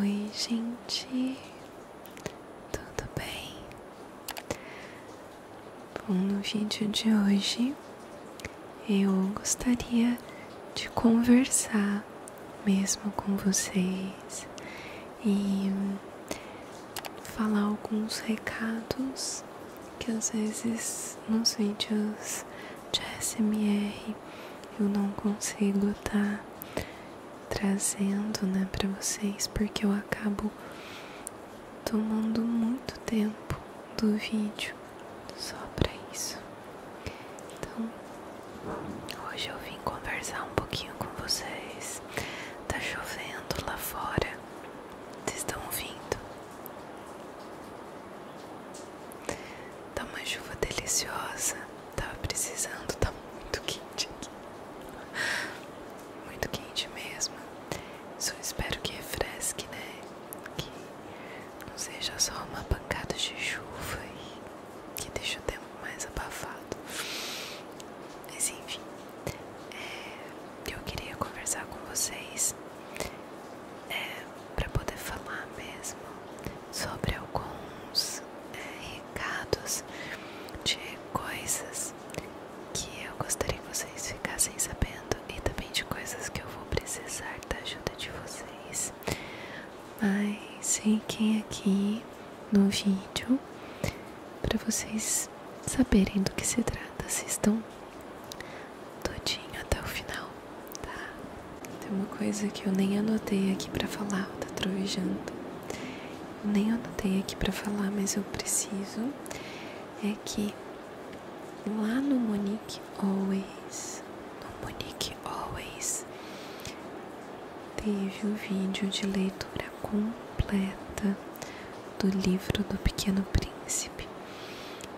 Oi, gente, tudo bem? Bom, no vídeo de hoje eu gostaria de conversar mesmo com vocês e falar alguns recados que às vezes nos vídeos de SMR eu não consigo estar tá trazendo, né, para vocês, porque eu acabo tomando muito tempo do vídeo só para isso. Então, hoje eu vim conversar um pouquinho com vocês. está chovendo lá fora. Vocês estão ouvindo? Tá uma chuva deliciosa. Tava precisando, tá muito quente aqui. Muito quente mesmo. Só espero que refresque, né? Que não seja só uma pancada de chuva e que deixe o tempo mais abafado. Mas enfim, é, eu queria conversar com vocês. É, para poder falar mesmo sobre alguns é, recados de coisas que eu gostaria que vocês ficassem sabendo e também de coisas que eu vou precisar da ajuda de vocês. Mas fiquem aqui no vídeo para vocês saberem do que se trata, assistam todinho até o final tá? Tem uma coisa que eu nem anotei aqui para falar, tá trovejando. nem anotei aqui para falar, mas eu preciso. É que lá no Monique Always, no Monique Always, teve um vídeo de leitura completa do livro do Pequeno Príncipe.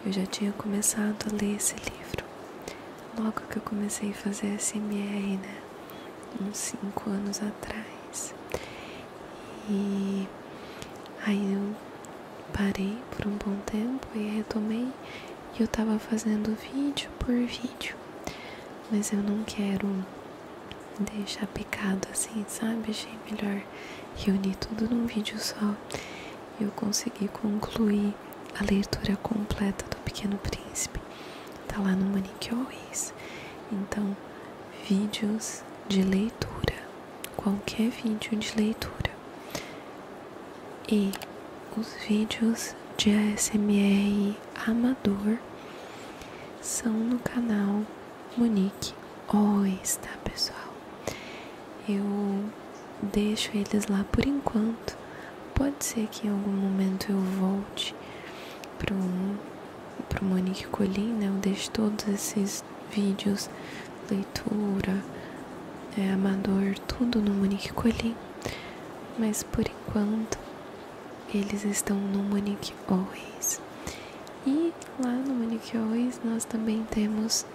Eu já tinha começado a ler esse livro logo que eu comecei a fazer SMR, né? Uns 5 anos atrás. E aí eu parei por um bom tempo e retomei. E eu tava fazendo vídeo por vídeo. Mas eu não quero deixar picado assim, sabe? Achei melhor reunir tudo num vídeo só eu consegui concluir a leitura completa do Pequeno Príncipe. Tá lá no Monique Ois Então, vídeos de leitura, qualquer vídeo de leitura. E os vídeos de ASMR amador são no canal Monique Ois tá pessoal? Eu deixo eles lá por enquanto. Pode ser que em algum momento eu volte para pro Monique Colim, né? Eu deixo todos esses vídeos, leitura, é, amador, tudo no Monique Colim. Mas por enquanto eles estão no Monique Always. E lá no Monique Always nós também temos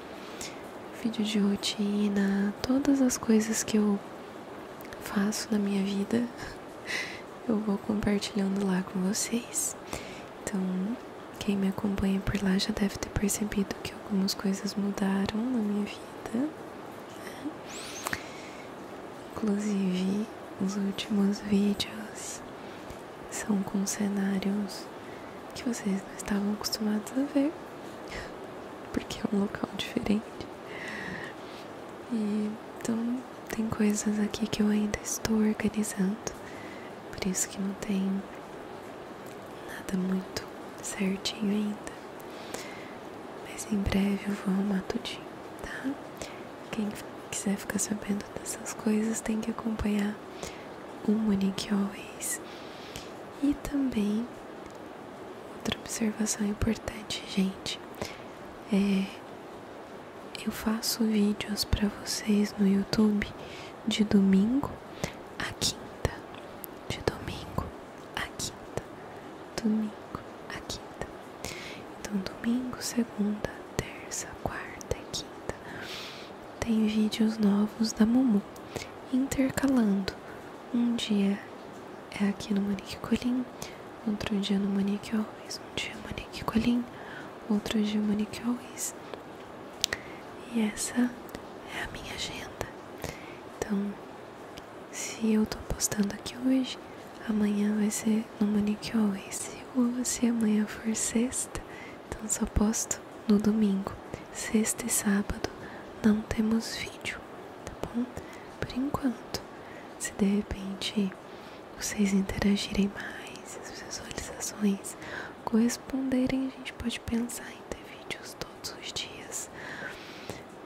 vídeo de rotina, todas as coisas que eu faço na minha vida, eu vou compartilhando lá com vocês. Então, quem me acompanha por lá já deve ter percebido que algumas coisas mudaram na minha vida. Inclusive, os últimos vídeos são com cenários que vocês não estavam acostumados a ver porque é um local diferente. E, então, tem coisas aqui que eu ainda estou organizando, por isso que não tem nada muito certinho ainda. Mas em breve eu vou arrumar tudinho, tá? Quem quiser ficar sabendo dessas coisas tem que acompanhar o Monique Always e também, outra observação importante, gente, é, eu faço vídeos para vocês no YouTube de domingo à quinta, de domingo à quinta, domingo à quinta. Então domingo, segunda, terça, quarta e quinta tem vídeos novos da Mumu, intercalando. Um dia é aqui no Manique Colim, outro dia no Manique Always, um dia Manique Colim, outro dia Manique Always. E essa é a minha agenda. Então, se eu tô postando aqui hoje, amanhã vai ser no Manique Always. Se, ou, se amanhã for sexta, Dança então, posta no domingo, sexta e sábado não temos vídeo, tá bom? Por enquanto, se de repente vocês interagirem mais, as visualizações corresponderem, a gente pode pensar em ter vídeos todos os dias.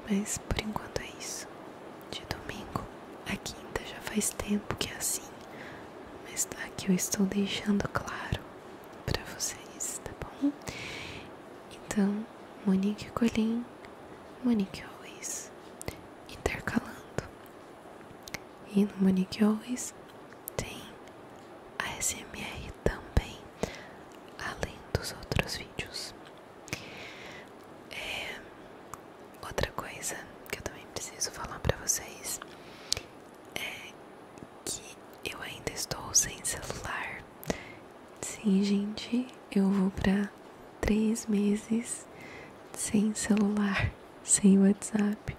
Mas por enquanto é isso. De domingo a quinta já faz tempo que é assim, mas aqui tá, eu estou deixando claro para vocês, tá bom? Então, Monique Colim, Monique Always, intercalando. E no Monique Always tem a SMR também, além dos outros vídeos. É, outra coisa que eu também preciso falar para vocês é que eu ainda estou sem celular. Sim, gente, eu vou para três meses sem celular, sem WhatsApp.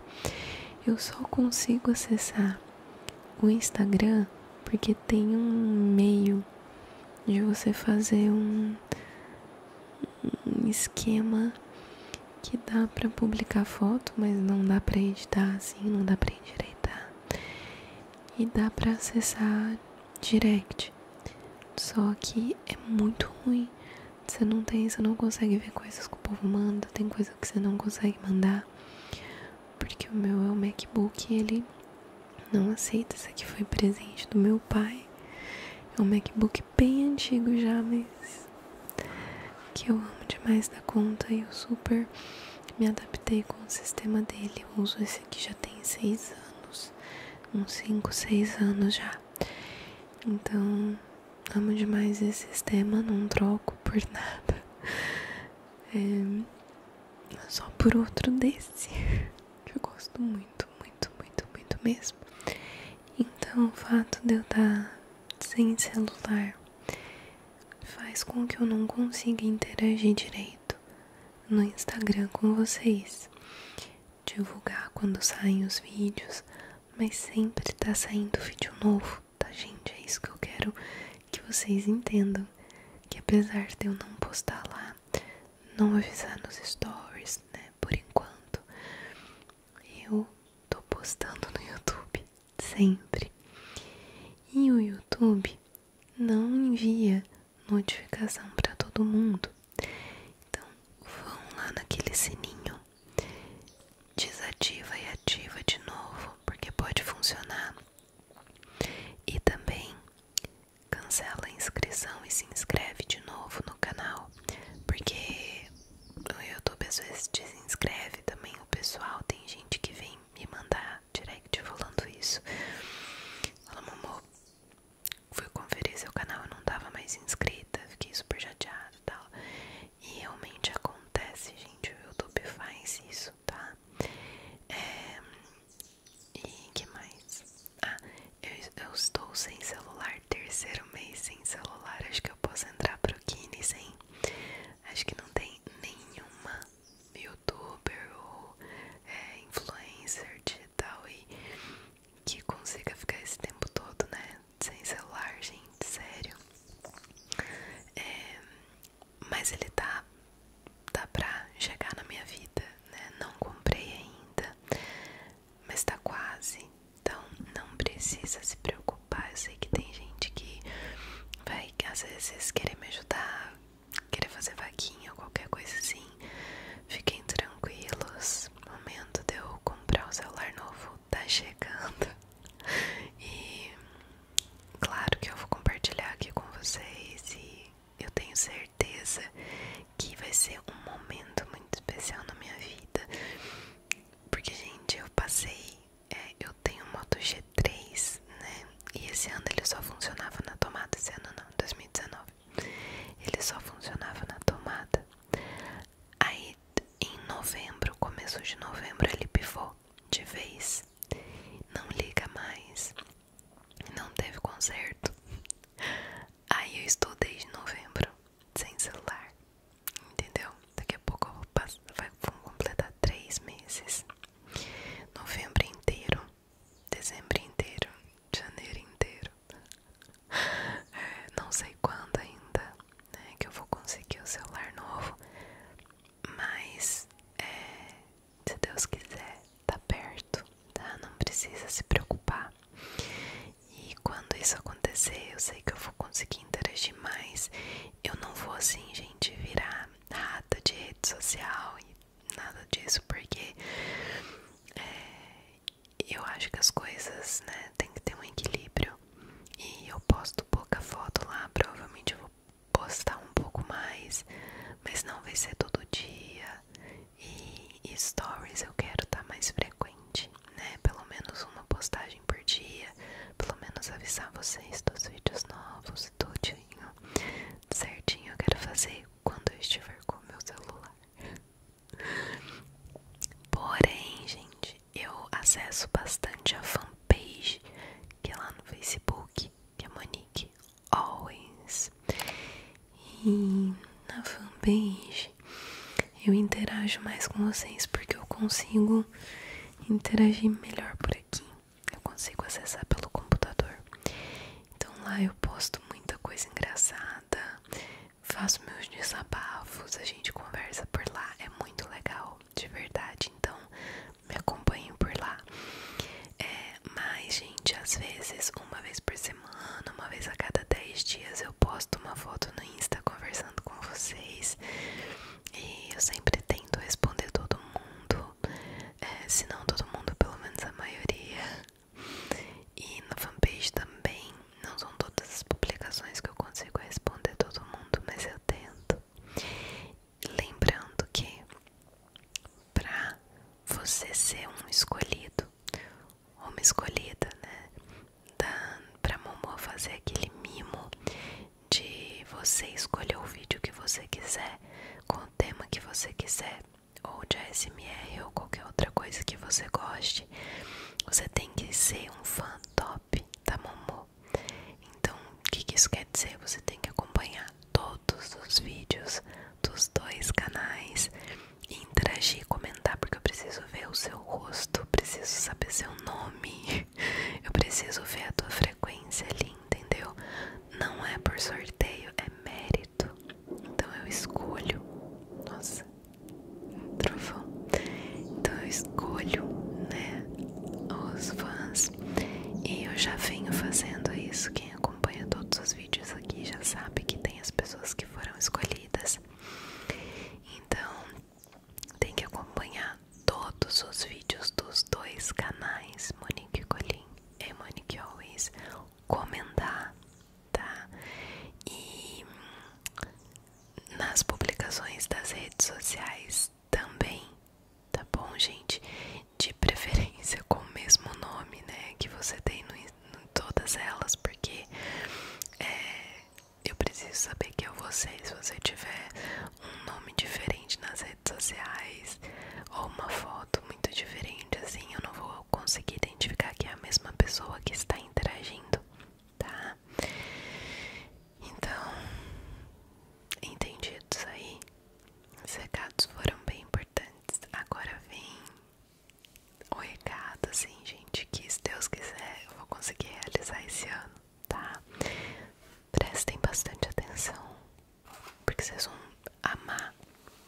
Eu só consigo acessar o Instagram porque tem um meio de você fazer um, um esquema que dá para publicar foto, mas não dá para editar assim, não dá para endireitar. E dá para acessar direct. Só que é muito ruim. Você não tem, você não consegue ver coisas que o povo manda, tem coisas que você não consegue mandar. Porque o meu é o MacBook e ele não aceita. Isso aqui foi presente do meu pai. É um MacBook bem antigo já, mas que eu amo demais da conta e eu super me adaptei com o sistema dele. Eu uso esse aqui já tem 6 anos, uns 5, 6 anos já. Então, amo demais esse sistema, não troco por nada. É, só por outro desse, que eu gosto muito, muito, muito, muito mesmo. Então, o fato de eu estar tá sem celular faz com que eu não consiga interagir direito no Instagram com vocês. Divulgar quando saem os vídeos, mas sempre tá saindo vídeo novo, tá gente? É isso que eu quero que vocês entendam. Que apesar de eu não postar lá, não avisar nos stories, né? Por enquanto, eu tô postando no YouTube sempre. E o YouTube não envia notificação para todo mundo. Então, vão lá naquele sininho, desativa e ativa de novo, porque pode funcionar. E também cancela a inscrição e se inscreve de novo no canal, porque o YouTube às vezes desinscreve também o pessoal. Tem gente que vem me mandar direct falando isso. Fala, Momô, fui conferir seu canal, eu não tava mais inscrita, fiquei super chateada e tal. E realmente acontece, gente, o YouTube faz isso, tá? É... E que mais? Ah, eu, eu estou sem celular, terceiro mês sem celular. Acho que eu posso entrar pro Kine sem Acho que não tem nenhuma youtuber ou é, influencer digital aí que consiga ficar esse tempo todo, né? Sem celular, gente, sério. É, mas ele tá, tá pra chegar na minha vida, né? Não comprei ainda, mas tá quase. Então não precisa se preocupar. Eu sei que tem gente que vai às vezes querer me ajudar, querer fazer vaquinha qualquer coisa assim. Fiquem tranquilos. momento de eu comprar o celular novo tá chegando. E claro que eu vou compartilhar aqui com vocês e eu tenho certeza que vai ser um momento muito especial na minha vida. Porque, gente, eu passei é, eu tenho Moto G3, né? E esse ano ele só funcionava na tomada. Esse ano não, 2019. Ele só funcionava na tomada. Aí em novembro, começo de novembro, ele pivou de vez. Não liga mais. Não teve conserto. Aí eu estou desde novembro sem celular, entendeu? Daqui a pouco eu vou passar, vai, completar três meses, novembro inteiro, dezembro inteiro, janeiro inteiro, não sei quando ainda, né, que eu vou conseguir o celular novo, mas é, se Deus quiser, tá perto, tá? Não precisa se preocupar. E quando isso acontecer, eu sei que eu vou conseguir interagir mais. Eu não vou assim, gente, virar rata de rede social e nada disso, porque é, eu acho que as coisas, né, tem que ter um equilíbrio. E eu posto pouca foto lá, provavelmente eu vou postar um pouco mais, mas não vai ser todo dia. E, stories eu quero estar tá mais frequente, né? Pelo menos uma postagem por dia, pelo menos avisar vocês dos vídeos novos, Tudo certinho. Eu quero fazer quando eu estiver com meu celular. Porém, gente, eu acesso bastante a fanpage que é lá no Facebook, que é Monique Always. E na fanpage eu interajo mais com vocês porque eu consigo interagir melhor por aqui. Eu consigo acessar pelo computador. Então lá eu posto muita coisa engraçada, faço meus desabafos, a gente conversa por lá, é muito legal, de verdade. Então me acompanhem por lá. É, mas, gente, às vezes, uma vez por semana, uma vez a cada dez dias, eu posto uma foto no Insta conversando com vocês e eu sempre tento responder todo mundo, é, se não todo mundo, pelo menos a maioria. E na fanpage também, não são todas as publicações que eu consigo responder todo mundo, mas eu tento. Lembrando que para você ser um escolhido, uma escolhida, né? para pra Momo fazer aquele mimo de você escolher o vídeo que você quiser, com o tema que você quiser, ou de ASMR ou qualquer outra coisa que você goste. Você tem que ser um fã top da Momo. Então, o que isso quer dizer? Você tem que acompanhar todos os vídeos dos dois canais, interagir, comentar Tá, porque eu preciso ver o seu rosto, preciso saber seu nome, eu preciso ver a tua frequência ali, entendeu? Não é por sorteio, é mérito. Então eu escolho. Nossa, trovão. Então eu escolho, né? Os fãs. E eu já venho fazendo isso. Quem acompanha todos os vídeos aqui já sabe que tem as pessoas que foram escolhidas. Então tem que acompanhar todos os vídeos dos dois canais, Monique Colin e Monique Always, comentar, tá? E nas publicações das redes sociais também, tá bom, gente? De preferência com o mesmo nome, né? Que você tem em todas elas, porque é, eu preciso saber que é vou Se você tiver um nome diferente nas redes sociais ou uma foto muito diferente, assim, eu não vou conseguir identificar que é a mesma pessoa que está interagindo, tá? Então, entendidos aí? Os recados foram bem importantes. Agora vem o recado, assim, gente, que se Deus quiser eu vou conseguir realizar esse ano, tá? Prestem bastante atenção, porque vocês vão amar,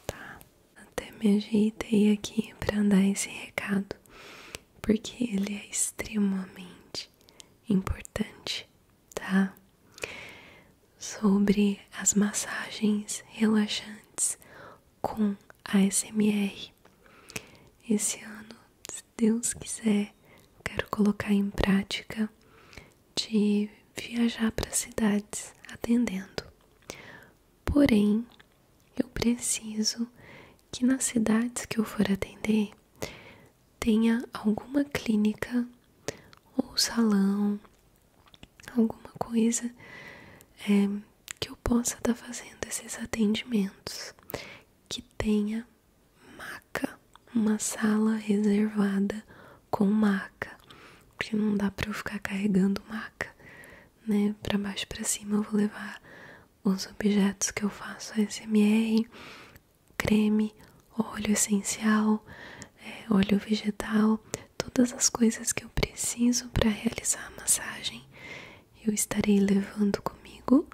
tá? Até me ajeitei aqui pra andar esse recado, porque ele é extremamente importante, tá? Sobre as massagens relaxantes com ASMR York. Esse ano, se Deus quiser, quero colocar em prática de viajar para cidades atendendo. Porém, eu preciso que nas cidades que eu for atender tenha alguma clínica ou salão, alguma coisa eh, que eu possa estar fazendo esses atendimentos, que tenha maca, uma sala reservada com maca, porque não dá para eu ficar carregando maca, né? Para baixo para cima eu vou levar os objetos que eu faço SMR, creme, óleo essencial, é, óleo vegetal, todas as coisas que eu preciso para realizar a massagem eu estarei levando comigo,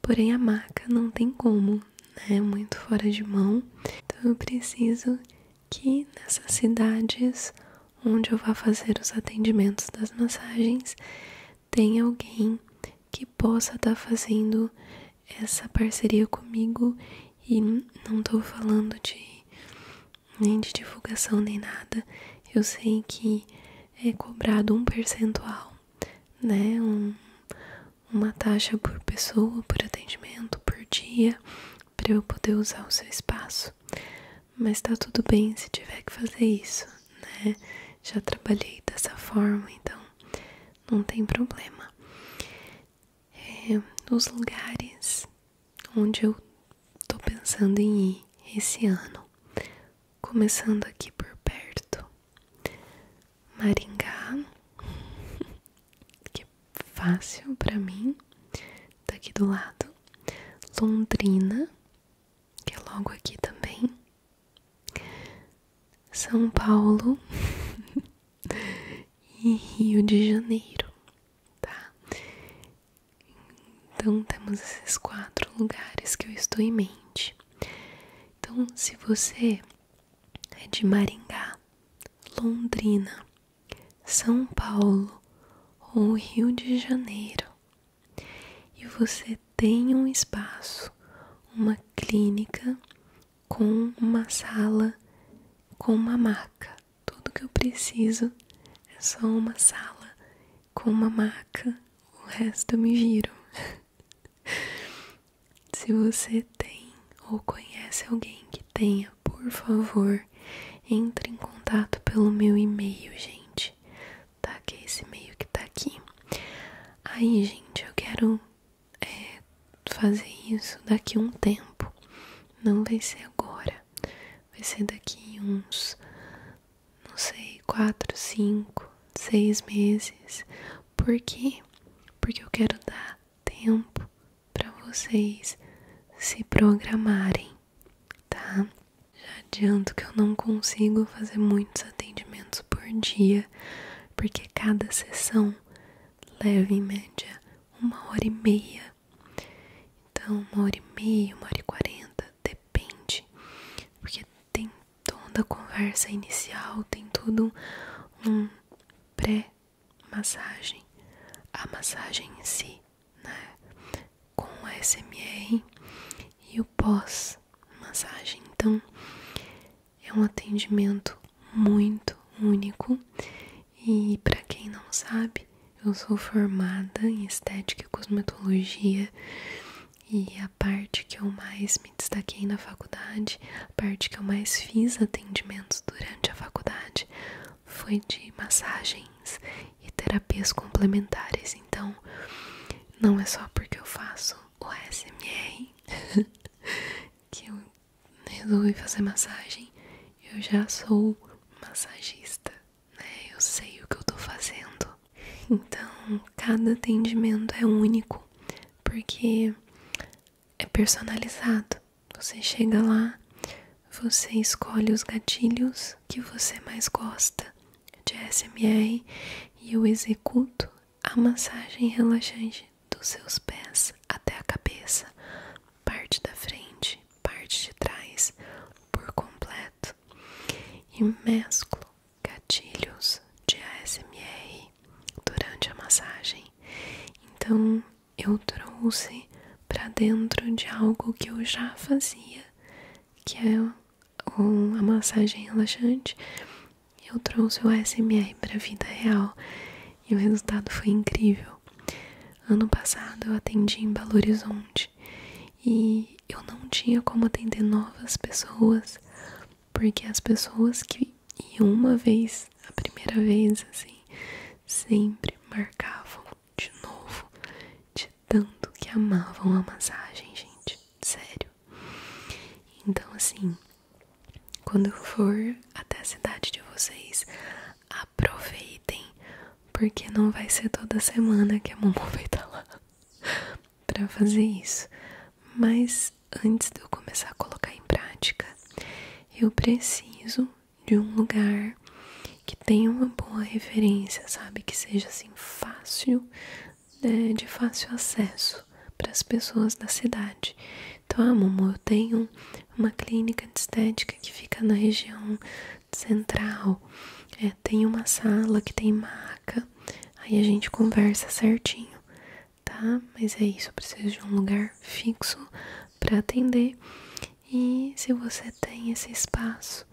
porém a maca não tem como, né? Muito fora de mão. Então eu preciso que nessas cidades onde eu vá fazer os atendimentos das massagens tenha alguém que possa estar fazendo essa parceria comigo e não estou falando de nem de divulgação, nem nada. Eu sei que é cobrado um percentual, né? Um, uma taxa por pessoa, por atendimento, por dia, para eu poder usar o seu espaço. Mas está tudo bem se tiver que fazer isso, né? Já trabalhei dessa forma, então não tem problema. É, os lugares onde eu tô pensando em ir esse ano. Começando aqui por perto. Maringá, que é fácil para mim, tá aqui do lado. Londrina, que é logo aqui também. São Paulo e Rio de Janeiro, tá? Então temos esses quatro lugares que eu estou em mente. Então, se você é de Maringá, Londrina, São Paulo ou Rio de Janeiro e você tem um espaço, uma clínica com uma sala com uma maca tudo que eu preciso é só uma sala com uma maca, o resto eu me giro. Se você tem ou conhece alguém que tenha, por favor, entre em contato pelo meu e-mail, gente. Tá? Que é esse e-mail que tá aqui. Aí, gente, eu quero é, fazer isso daqui um tempo. Não vai ser agora vai ser daqui uns, não sei, 4, 5, 6 meses. Por quê? Porque eu quero dar tempo para vocês se programarem, tá? Já adianto que eu não consigo fazer muitos atendimentos por dia, porque cada sessão leva em média uma hora e meia então, uma hora e meia, uma hora e quarenta, depende, porque tem toda a conversa inicial, tem tudo um pré-massagem, a massagem em si, né? Com a SMR e o pós-massagem. Então, é um atendimento muito único e para quem não sabe, eu sou formada em estética e cosmetologia e a parte que eu mais me destaquei na faculdade, a parte que eu mais fiz atendimentos durante a faculdade, foi de massagens e terapias complementares. Então, não é só porque eu faço o SMR que eu resolvi fazer massagem, eu já sou massagista. É, eu sei o que eu estou fazendo. Então, cada atendimento é único, porque é personalizado. Você chega lá, você escolhe os gatilhos que você mais gosta de SMR e eu executo a massagem relaxante dos seus pés até a cabeça parte da frente, parte de trás, por completo, e mesclo gatilhos de ASMR durante a massagem. Então eu trouxe para dentro de algo que eu já fazia, que é a massagem relaxante. Eu trouxe o ASMR para a vida real e o resultado foi incrível. Ano passado eu atendi em Belo Horizonte e eu não tinha como atender novas pessoas, porque as pessoas que iam uma vez, a primeira vez, assim, sempre marcavam de novo, de tanto que amavam a massagem, gente, sério. Então, assim, quando eu for até a cidade de vocês, aproveitem porque não vai ser toda semana que a mamãe vai estar tá lá para fazer isso. Mas antes de eu começar a colocar em prática, eu preciso de um lugar que tenha uma boa referência, sabe? Que seja assim fácil, né? de fácil acesso para as pessoas da cidade. Então, a ah, mamãe, eu tenho uma clínica de estética que fica na região central. É, tem uma sala que tem maca. Aí a gente conversa certinho, tá? Mas é isso, eu preciso de um lugar fixo para atender. E se você tem esse espaço,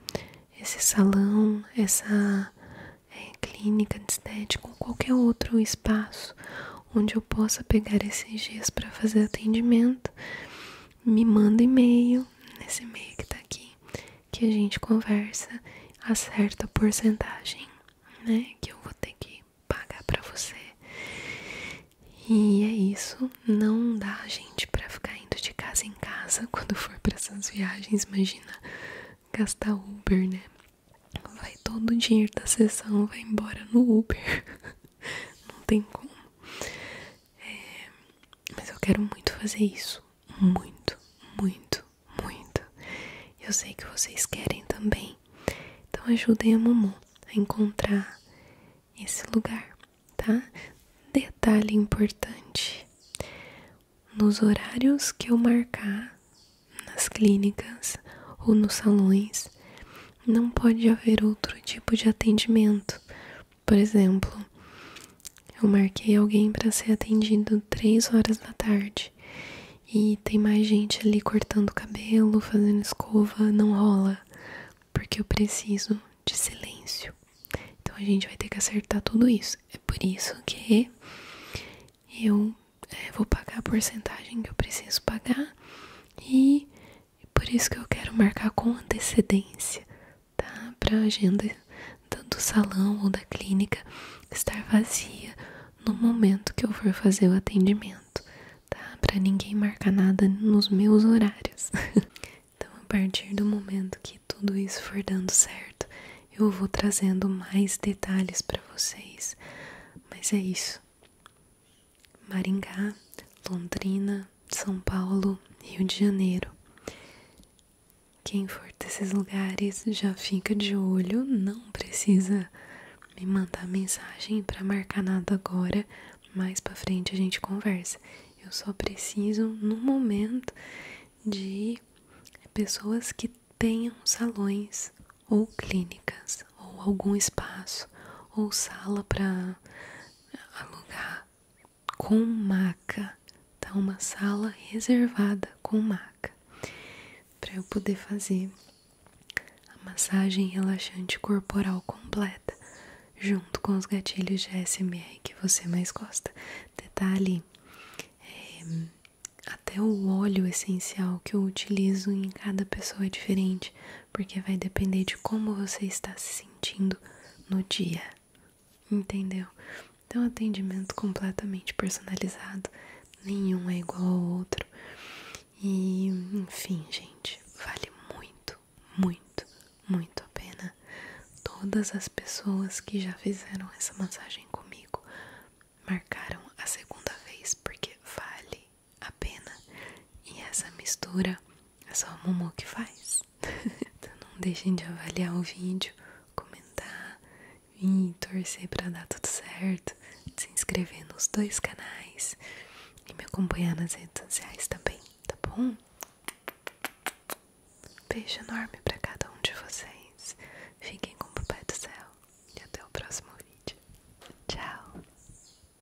esse salão, essa é, clínica de estética ou qualquer outro espaço onde eu possa pegar esses dias para fazer atendimento, me manda e-mail nesse e-mail que tá aqui, que a gente conversa, acerta a porcentagem, né? Que eu vou ter que pagar pra você. E é isso, não dá, gente, pra ficar indo de casa em casa quando for pra essas viagens, imagina gastar Uber, né? Vai todo o dinheiro da sessão, vai embora no Uber. Não tem como mas eu quero muito fazer isso. Muito, muito, muito. Eu sei que vocês querem também. Então ajudem a Mumu a encontrar esse lugar, tá? Detalhe importante. Nos horários que eu marcar nas clínicas ou nos salões, não pode haver outro tipo de atendimento, por exemplo, eu marquei alguém para ser atendido três horas da tarde e tem mais gente ali cortando cabelo, fazendo escova, não rola, porque eu preciso de silêncio. Então a gente vai ter que acertar tudo isso. É por isso que eu é, vou pagar a porcentagem que eu preciso pagar e e é por isso que eu quero marcar com antecedência, tá? Para a agenda do salão ou da clínica estar vazia no momento que eu for fazer o atendimento, tá? Para ninguém marcar nada nos meus horários. então, a partir do momento que tudo isso for dando certo, eu vou trazendo mais detalhes para vocês. Mas é isso. Maringá, Londrina, São Paulo, Rio de Janeiro. Quem for desses lugares já fica de olho, não precisa me mandar mensagem para marcar nada agora, mais para frente a gente conversa. Eu só preciso no momento de pessoas que tenham salões ou clínicas ou algum espaço ou sala para alugar com maca, tá? Uma sala reservada com maca, para eu poder fazer a massagem relaxante corporal completa, junto com os gatilhos de ASMR que você mais gosta. Detalhe: eh, até o óleo essencial que eu utilizo em cada pessoa é diferente, porque vai depender de como você está se sentindo no dia, entendeu? Então, atendimento completamente personalizado, nenhum é igual ao outro. E, enfim, gente, vale muito, muito, muito a pena. Todas as pessoas que já fizeram essa massagem comigo marcaram a segunda vez, porque vale a pena. E essa mistura é só a Momo que faz. então não deixem de avaliar o vídeo, comentar, e torcer para dar tudo certo, se inscrever nos dois canais e me acompanhar nas redes sociais também, tá bom? Beijo enorme para cada um de vocês. Fiquem com o Papai do Céu e até o próximo vídeo. Tchau!